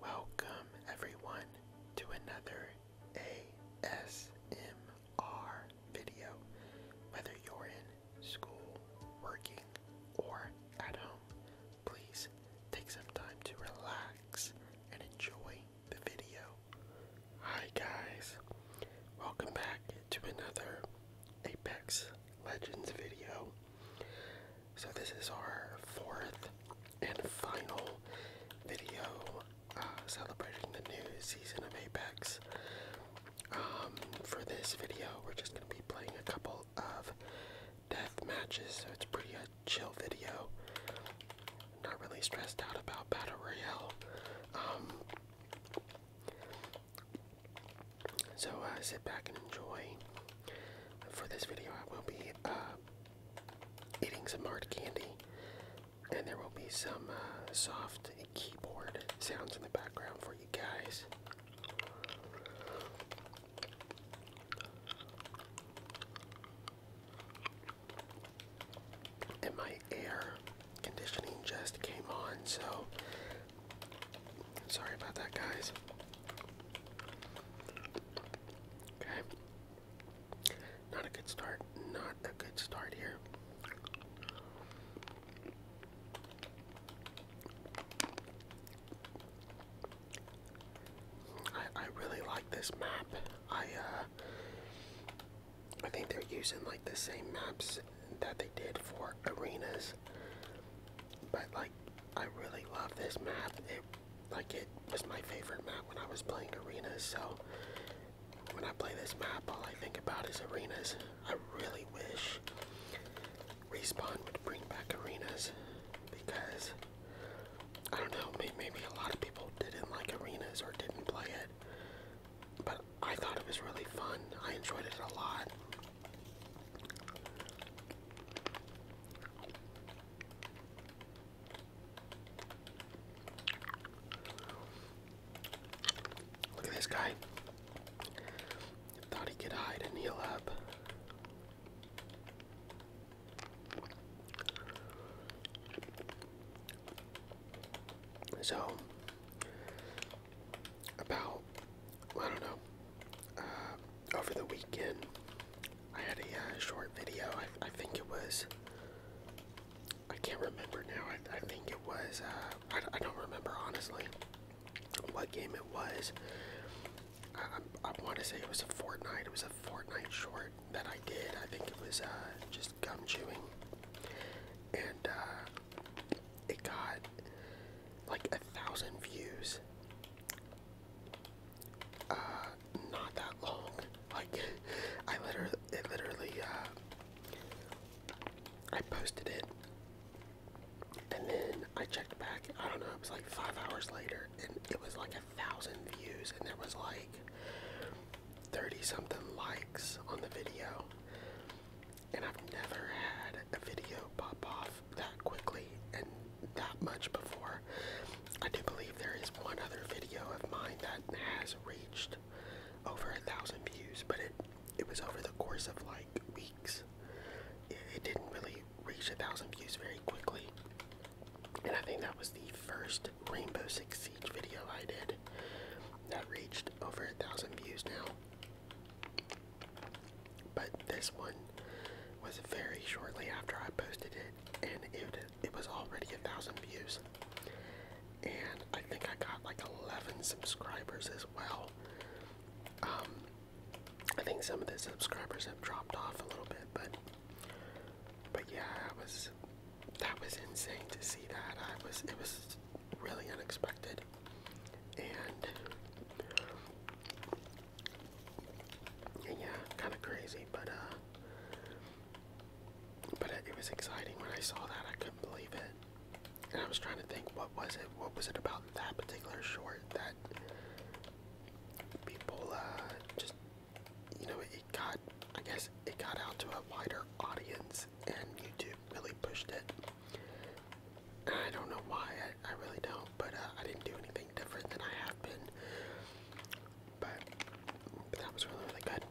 Welcome, everyone, to another ASMR video. Whether you're in school, working, or at home, please take some time to relax and enjoy the video. Hi, guys, welcome back to another Apex Legends video. So this is our fourth and final video uh, celebrating the new season of Apex. Um, for this video, we're just going to be playing a couple of death matches, so it's pretty a chill video. Not really stressed out about battle royale. Um, so uh, sit back and enjoy. For this video, I will be uh, eating some hard candy, and there will be some uh, soft keyboard sounds in the background for you guys. And my air conditioning just came on, so sorry about that, guys. Okay. Not a good start. Not a good start here. I, I really like this map. I uh I think they're using like the same maps that they did for arenas, but like I really love this map. It like it was my favorite map when I was playing arenas, so when I play this map all I think about is arenas. I really wish Respawn would bring back arenas because I don't know, maybe a lot of people didn't like arenas or didn't play it. But I thought it was really fun. I enjoyed it a lot. Look at this guy. Thought he could hide and heal up. So, about, I don't know, uh, over the weekend, I had a uh, short video. I, I think it was. I can't remember now. I, I think it was. Uh, I, I don't remember honestly what game it was. I, I, want to say it was a Fortnite. It was a Fortnite short that I did. I think it was uh, just gum chewing, and it got like a thousand views uh, not that long. Like, I literally, it literally, uh, I posted it, and then I checked back. I don't know. It was like five hours later, and it was like a thousand views, and there was like thirty something likes on the video. And I've never had a video pop off that quickly and that much before. I do believe there is one other video of mine that has reached over a thousand views, but it it was over the course of like weeks. it didn't really reach a thousand views very quickly. And I think that was the first Rainbow Six Siege video I did that reached over a thousand views now. But this one was very shortly after I posted it, and it it was already a thousand views, and I think I got like eleven subscribers as well. Um, I think some of the subscribers have dropped off a little bit, but but yeah, I was that was insane to see that. I was it was really unexpected, and yeah, kind of crazy, but uh, but it, was exciting when I saw that. I couldn't believe it, and I was trying to think, what was it? What was it about that particular short that people uh, just, you know, it got. I guess it got out to a wider audience, and YouTube really pushed it. I don't know why. I really don't but uh, I didn't do anything different than I have been. but that was really, really good.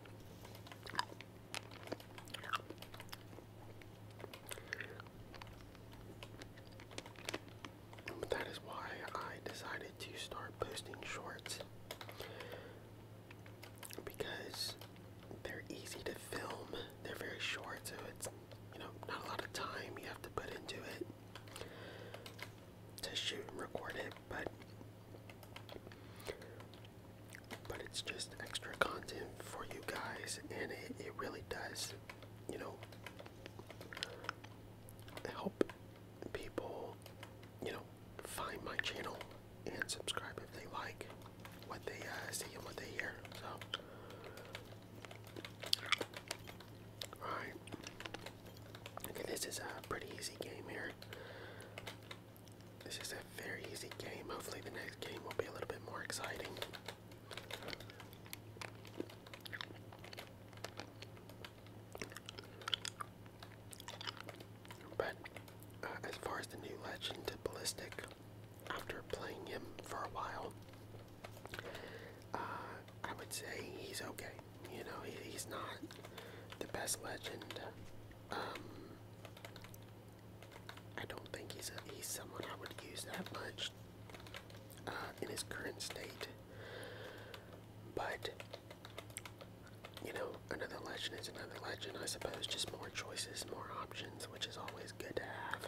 But that is why I decided to start posting shorts because they're easy to film. They're very short, so it's you know not a lot of time you have to put into it to shoot and record it, but but it's just extra content for you guys, and it, it really does, you know, help people, you know, find my channel and subscribe if they like what they uh, see and what they hear. So, all right. Okay, this is a pretty easy game here. This is a very easy game. Hopefully, the next game will be a little bit more exciting. But uh, as far as the new legend, Ballistic, after playing him for a while, uh, I would say he's okay. You know, he's not the best legend. Um, I don't think he's he's someone I would use that much uh, in his current state. But you know, another legend is another legend. I suppose just more choices, more options, which is always good to have.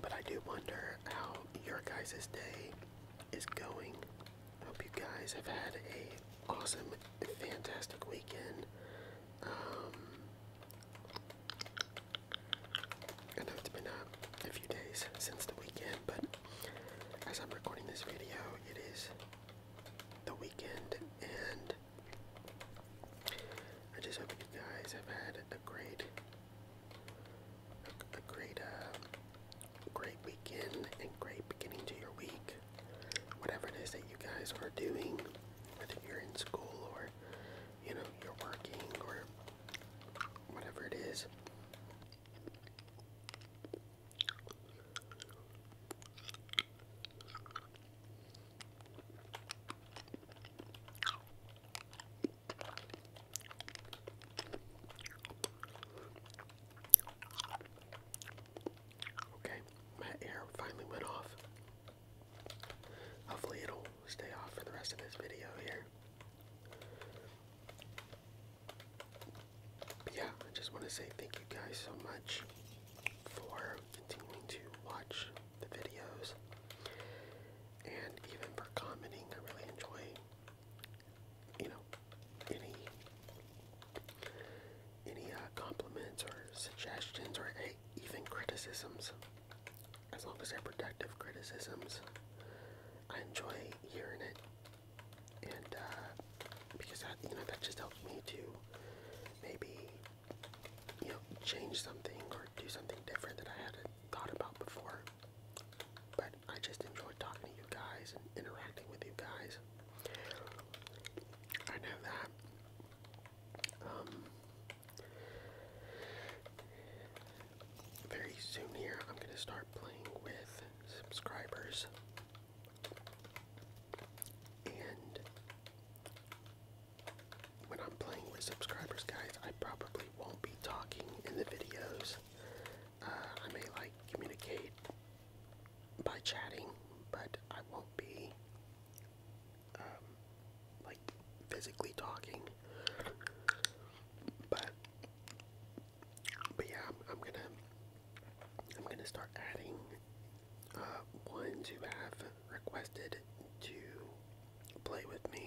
But I do wonder how your guys' day is going hope you guys have had a awesome, fantastic weekend. Um, I know it's been a few days since the weekend, but as I'm recording this video, it is the weekend, and I just hope you guys have had a great, a, great, um, great weekend and great beginning to your week. Whatever it is that you guys are doing, whether you're in school or you know you're working or whatever it is. Okay, my air finally went off. Hopefully it'll stay off for the rest of this video here. yeah, I just want to say thank you guys so much for continuing to watch the videos and even for commenting. I really enjoy you know, any any uh, compliments or suggestions or even criticisms. As long as they're productive criticisms, I enjoy hearing it, and uh, because that you know that just helps me to maybe you know change something or do something different that I hadn't thought about before. I just enjoy talking to you guys and interacting with you guys. I know that. Um, very soon here, I'm going to start playing with subscribers. And when I'm playing with subscribers, guys, I probably won't be talking in the videos. Uh, I may like communicate by chatting, but I won't be um, like physically talking. But but yeah, I'm, I'm gonna I'm gonna start adding uh, ones who have requested to play with me.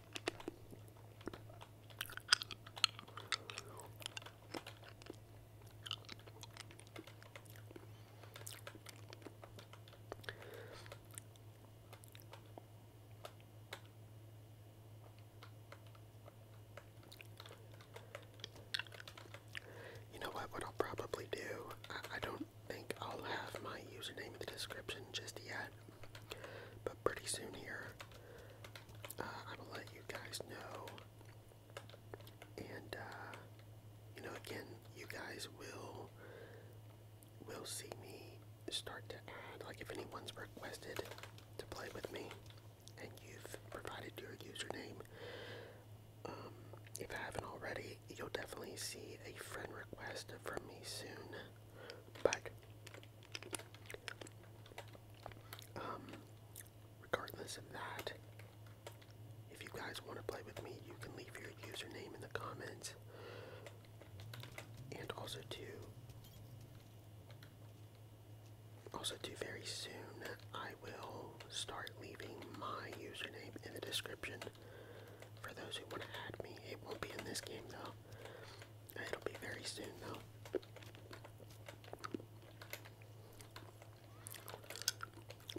You know what? What I'll probably do, I, I don't think I'll have my username in the description just yet, but pretty soon here, uh, I will let you guys know. And uh, you know, again, you guys will will see me start to add. Like, if anyone's requested to play with me, and you've provided your username, um, if I haven't already, you'll definitely see a friend request from me soon. But um, regardless of that, if you guys want to play with me, you can leave your username in the comments. And also too also too very soon I will start leaving my username in the description for those who want to add me, it won't be in this game though. It'll be very soon though.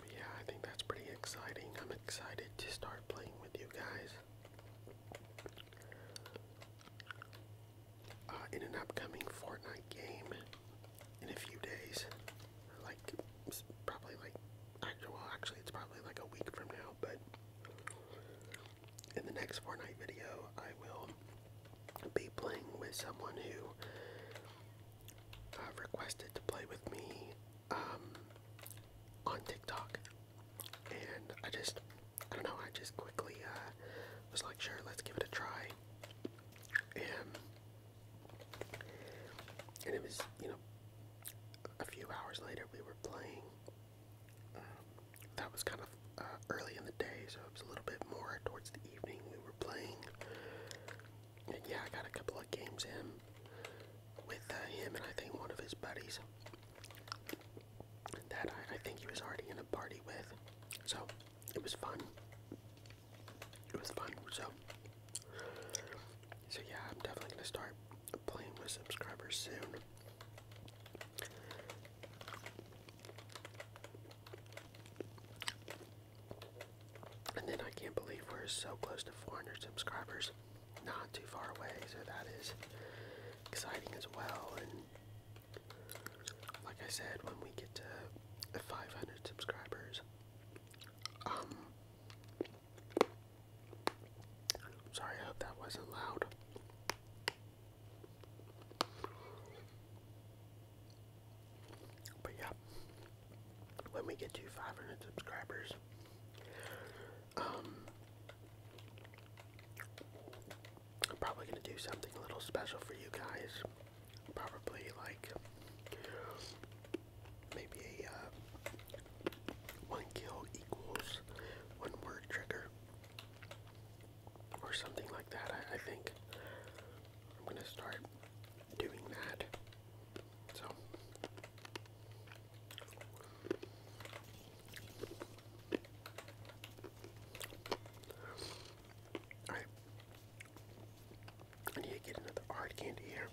yeah, I think that's pretty exciting. I'm excited to start playing with you guys. Uh, in an upcoming Fortnite game in a few days, like probably like, well, actually, it's probably like a week from now, but in the next Fortnite video, I will be playing with someone who uh, requested to play with me um, on TikTok. And I just, I don't know, I just quickly uh, was like, sure, let's give it a try. And, and it was, you know, a few hours later we were playing um, that was kind of uh, early in the day, so it was a little bit more towards the evening we were playing. And yeah, I got a couple of games in with uh, him and I think one of his buddies that I think he was already in a party with. So it was fun. It was fun. So, so yeah, I'm definitely gonna start playing with subscribers soon. And then I can't believe we're so close to 400 subscribers. Not too far away, so that is exciting as well. And like I said, when we get to 500 subscribers, um, Sorry, I hope that wasn't loud. But yeah, when we get to 500 subscribers, um, I'm probably gonna do something a little special for you guys. Probably like maybe a uh, one kill equals one word trigger. Or something like that, I, think. I'm gonna start doing that. So. Alright. I need to get another hard candy here.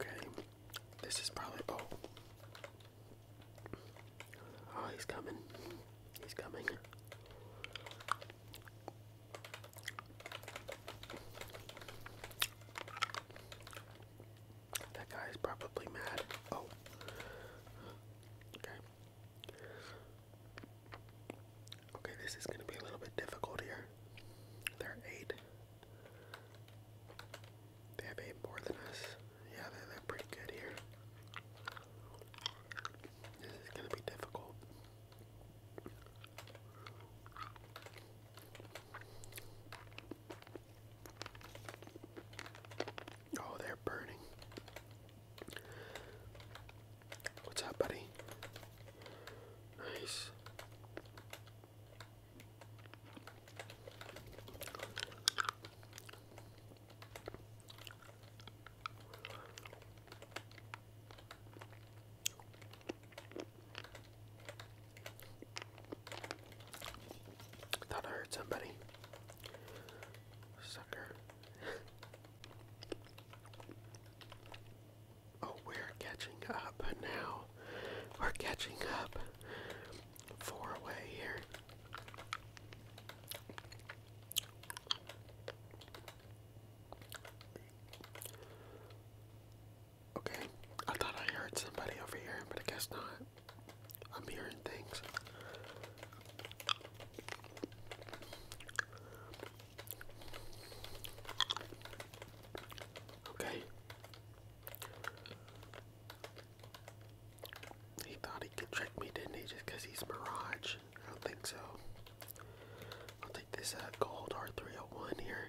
Okay, this is probably oh. Oh, he's coming. He's coming. That guy is probably mad. Oh. Okay. Okay, this is going to be a little bit difficult here. They're eight. They have eight more than us. Yeah, they're, pretty good here. This is going to be difficult. Oh, they're burning. What's up, buddy? Nice. Thought I heard somebody. Sucker. oh, we're catching up now. We're catching up. Four away here. Okay, I thought I heard somebody over here, but I guess not. I'm hearing things. Okay. He thought he could trick me, didn't he? Just because he's Mirage. I don't think so. I'll take this uh, gold R301 here.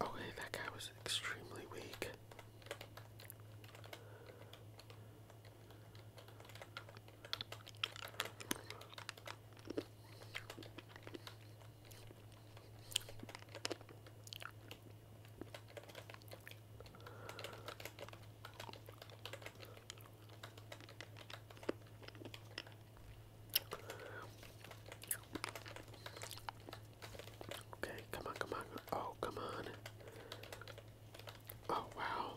Oh, that guy was extremely weak. Okay, come on, come on. Oh, come on. Oh, wow.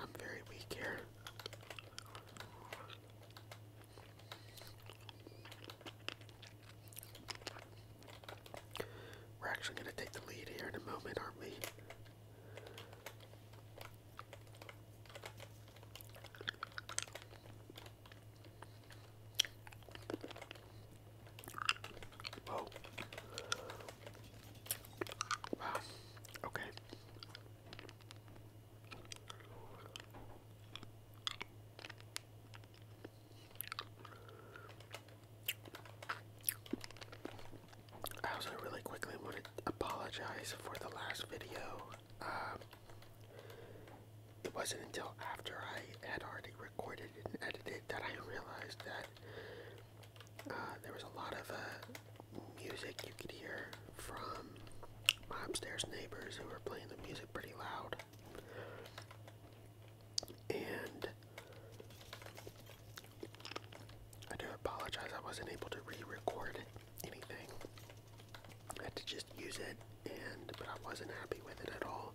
I'm very weak here. We're actually going to take the lead here in a moment, aren't we? Okay. I also really quickly want to apologize for the last video. Um, it wasn't until after I had already recorded and edited that I realized that uh, there was a lot of uh, music you could hear from my upstairs neighbors who were playing the music pretty loud. And I do apologize, I wasn't able to re record anything. I had to just use it, and but I wasn't happy with it at all.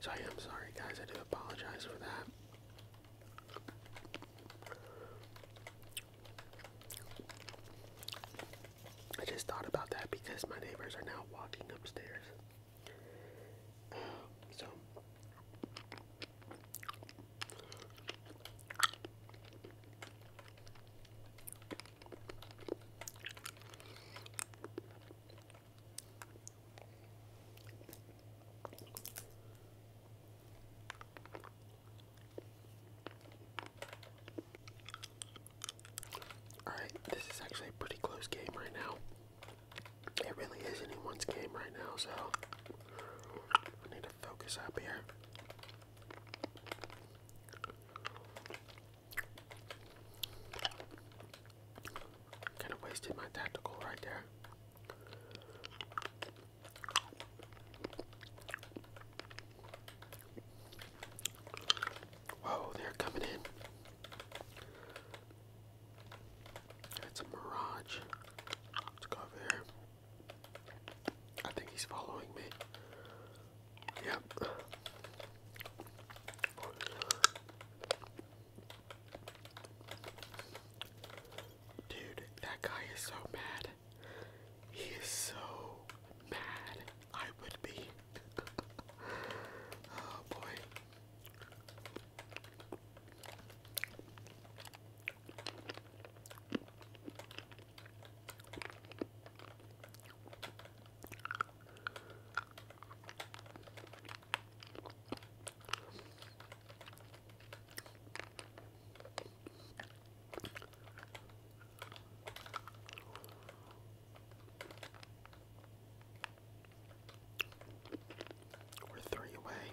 So I am sorry, guys. I do apologize for that. I just thought about that because my neighbors are now walking upstairs. so, Alright, this is actually a pretty close game right now. It really is anyone's game right now, so I need to focus up here. Kind of wasted my tactical right there. Whoa, they're coming in. That's a mirage. Let's go over here. I think he's following me. Yep. Dude, that guy is so mad. He is so mad. I would be. oh boy. We're three away.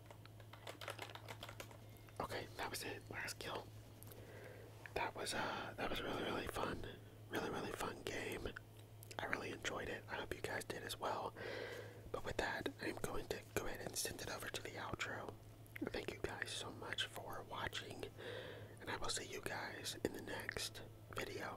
Okay, that was it. Last kill. That was uh that was really really fun. Really really fun game. I really enjoyed it. I hope you guys did as well. But with that, I'm going to go ahead and send it over to the outro. Thank you guys so much for watching, and I will see you guys in the next video.